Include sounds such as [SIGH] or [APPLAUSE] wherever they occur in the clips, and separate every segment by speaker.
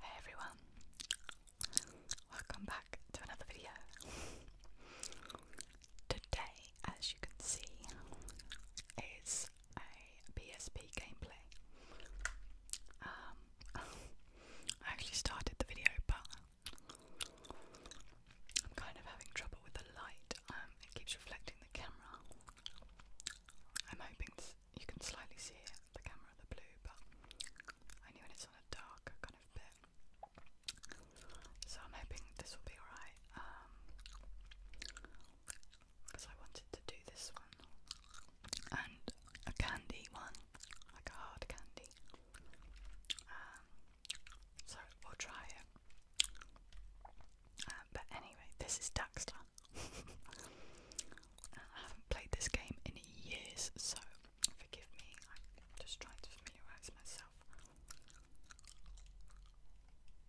Speaker 1: Hey everyone, welcome back to another video. Today, as you can see, is a PSP gameplay. Um, [LAUGHS] I actually started the video, but I'm kind of having trouble with the light. Um, it keeps reflecting the camera. I'm hoping you can slightly see the camera, the blue, but only when it's on a dark kind of bit. So I'm hoping this will be alright. because um, I wanted to do this one and a candy one, like a hard candy. Um, so we'll try it. Um, but anyway, this is Daxter. [LAUGHS] I haven't played this game in years, so forgive me. I'm just trying to familiarise myself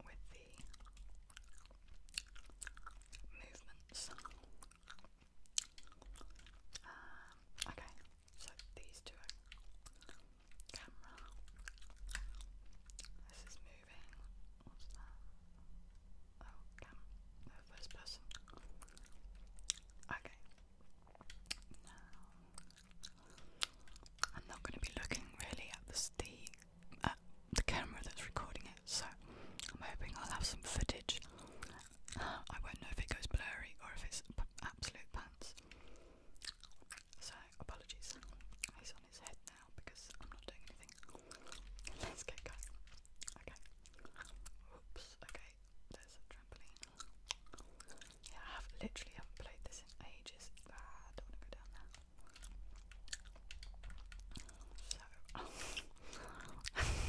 Speaker 1: with the movements. Um, okay, so these two camera. This is moving. What's that? Oh, cam. first person. Okay. Now, I'm not going to be looking really at the the, camera that's recording it, so I'm hoping I'll have some footage. I won't know if it goes blurry or if it's absolute pants. So, apologies. He's on his head now because I'm not doing anything. Let's get going. Okay. Oops. Okay. There's a trampoline. Yeah, I have literally haven't played this in ages. Ah, I don't want to go down there. So,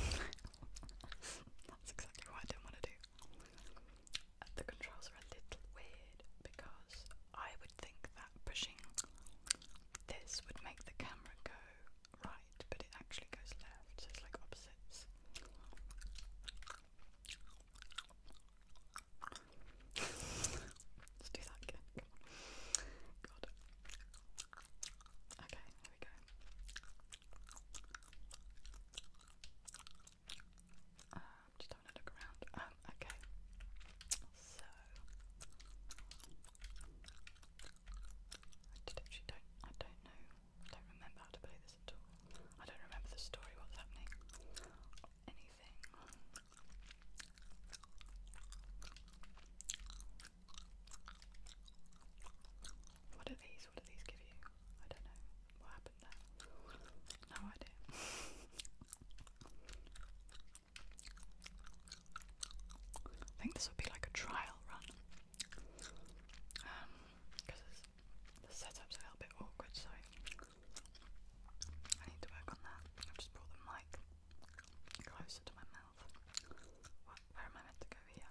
Speaker 1: [LAUGHS] that's exactly what I didn't want to do the controls are a little weird because I would think that pushing this would make the camera go right, but it actually goes left, so it's like opposites. [LAUGHS] Let's do that again. God. Okay, here we go. Um, just having a look around. Um, okay. So I actually don't I don't know I don't remember how to play this at all. I don't remember the story, what's happening, anything. What are these? these? What give you? I don't know. What happened there? No idea. I think this would be like a trial run. Um, because the setup's a little bit awkward, so I need to work on that. I've just brought the mic closer to my mouth. What, where am I meant to go here?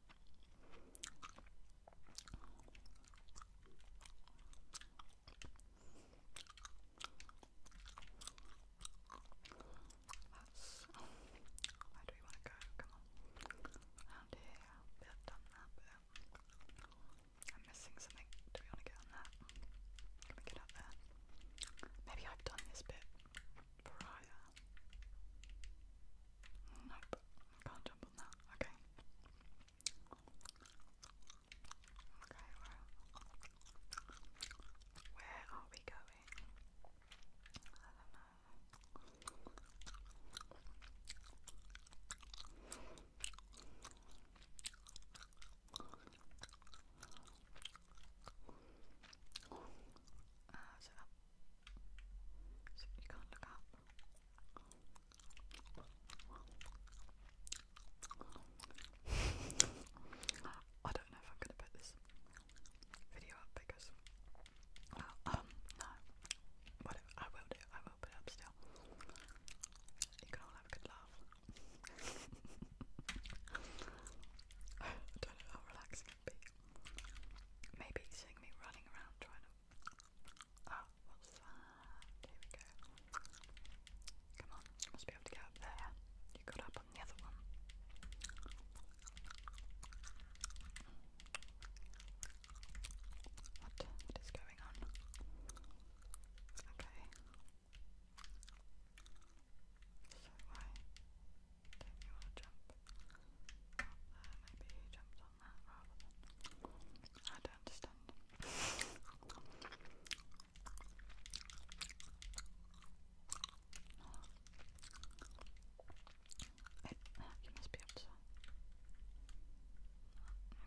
Speaker 1: That's, oh, where do we want to go? Come on. Around here. We have done that bit. I'm missing something. Do we want to get on that? Can we get up there? Maybe I've done this bit prior. Nope. Can't jump on that, okay? Okay, where are we going? I don't know. Uh, is so you can't look up. [LAUGHS] I don't know if I'm gonna put this video up because uh, um no. Whatever I will do, I will put up still. You can all have a good laugh. how relaxing it be. Maybe seeing me running around trying to Oh, what's we go. Come on, you must be able to get up there. You got up on the other one. what is going on? Okay. So why do you jump up there? Maybe jumped on I don't understand. It,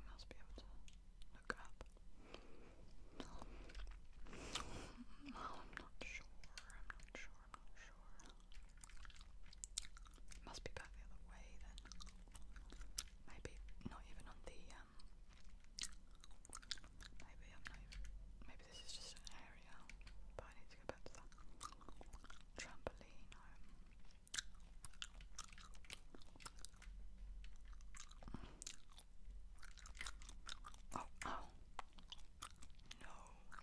Speaker 1: must be able to. You must be able to look up. Well, [LAUGHS] I'm not sure. I'm not sure. I'm must be back the other way then. Maybe not even on the um, maybe maybe this is just an area, but I need to go back to that trampoline oh, oh. No.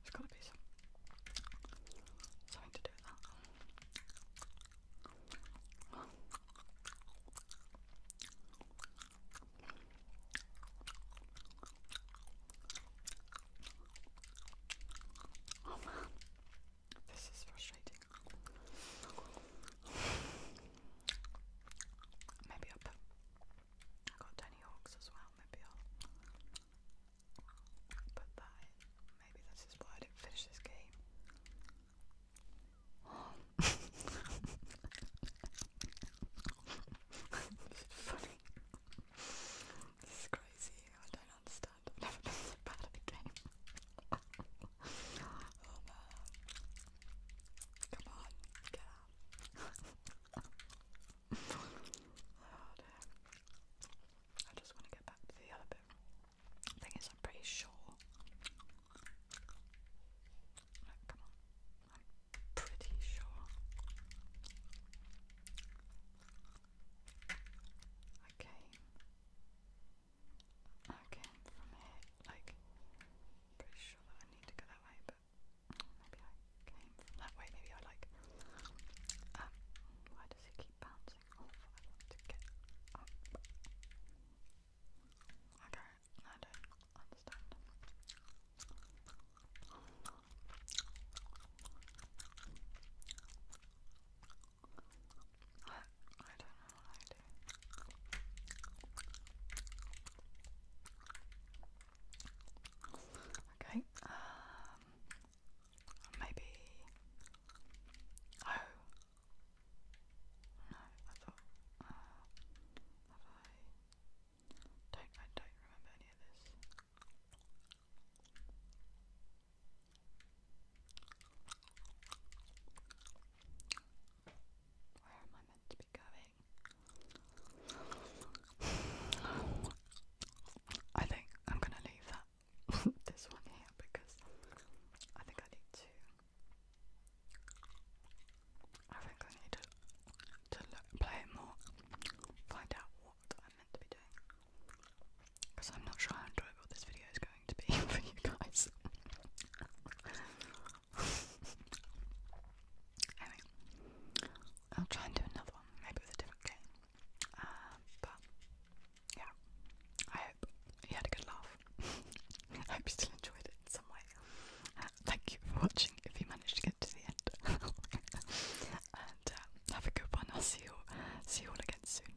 Speaker 1: It's gotta be some, something to do with that. Oh man, this is frustrating. Maybe up. I got Tony Hawks as well. Maybe I'll put that in. Maybe this is why I didn't finish this game. [LAUGHS] funny. This is crazy. I don't understand. never been so bad at a game. Come on, get out. I just want to get back to the other bit. thing is, I'm pretty sure. come on. I'm pretty sure. I Okay, from here, like, pretty sure that I need to go that way, but that way, maybe I like, um, why does it keep bouncing off? I want to get Okay, I don't understand. I, I don't know what I do. Okay, um, maybe. Oh, no, I thought. Uh, have I? Don't I don't remember any of this. Where am I meant to be going? I think I'm gonna leave that [LAUGHS] this one here because I think I need to I think I need to to play more, find out what I'm meant to be doing because I'm not sure how enjoyable this video is going to be [LAUGHS] for you guys. I'll try and do another one, maybe with a different game. Um, but yeah, I hope you had a good laugh. [LAUGHS] I hope you still enjoyed it in some way. Uh, thank you for watching if you managed to get to the end. [LAUGHS] and uh, have a good one. I'll see you, see you all again soon.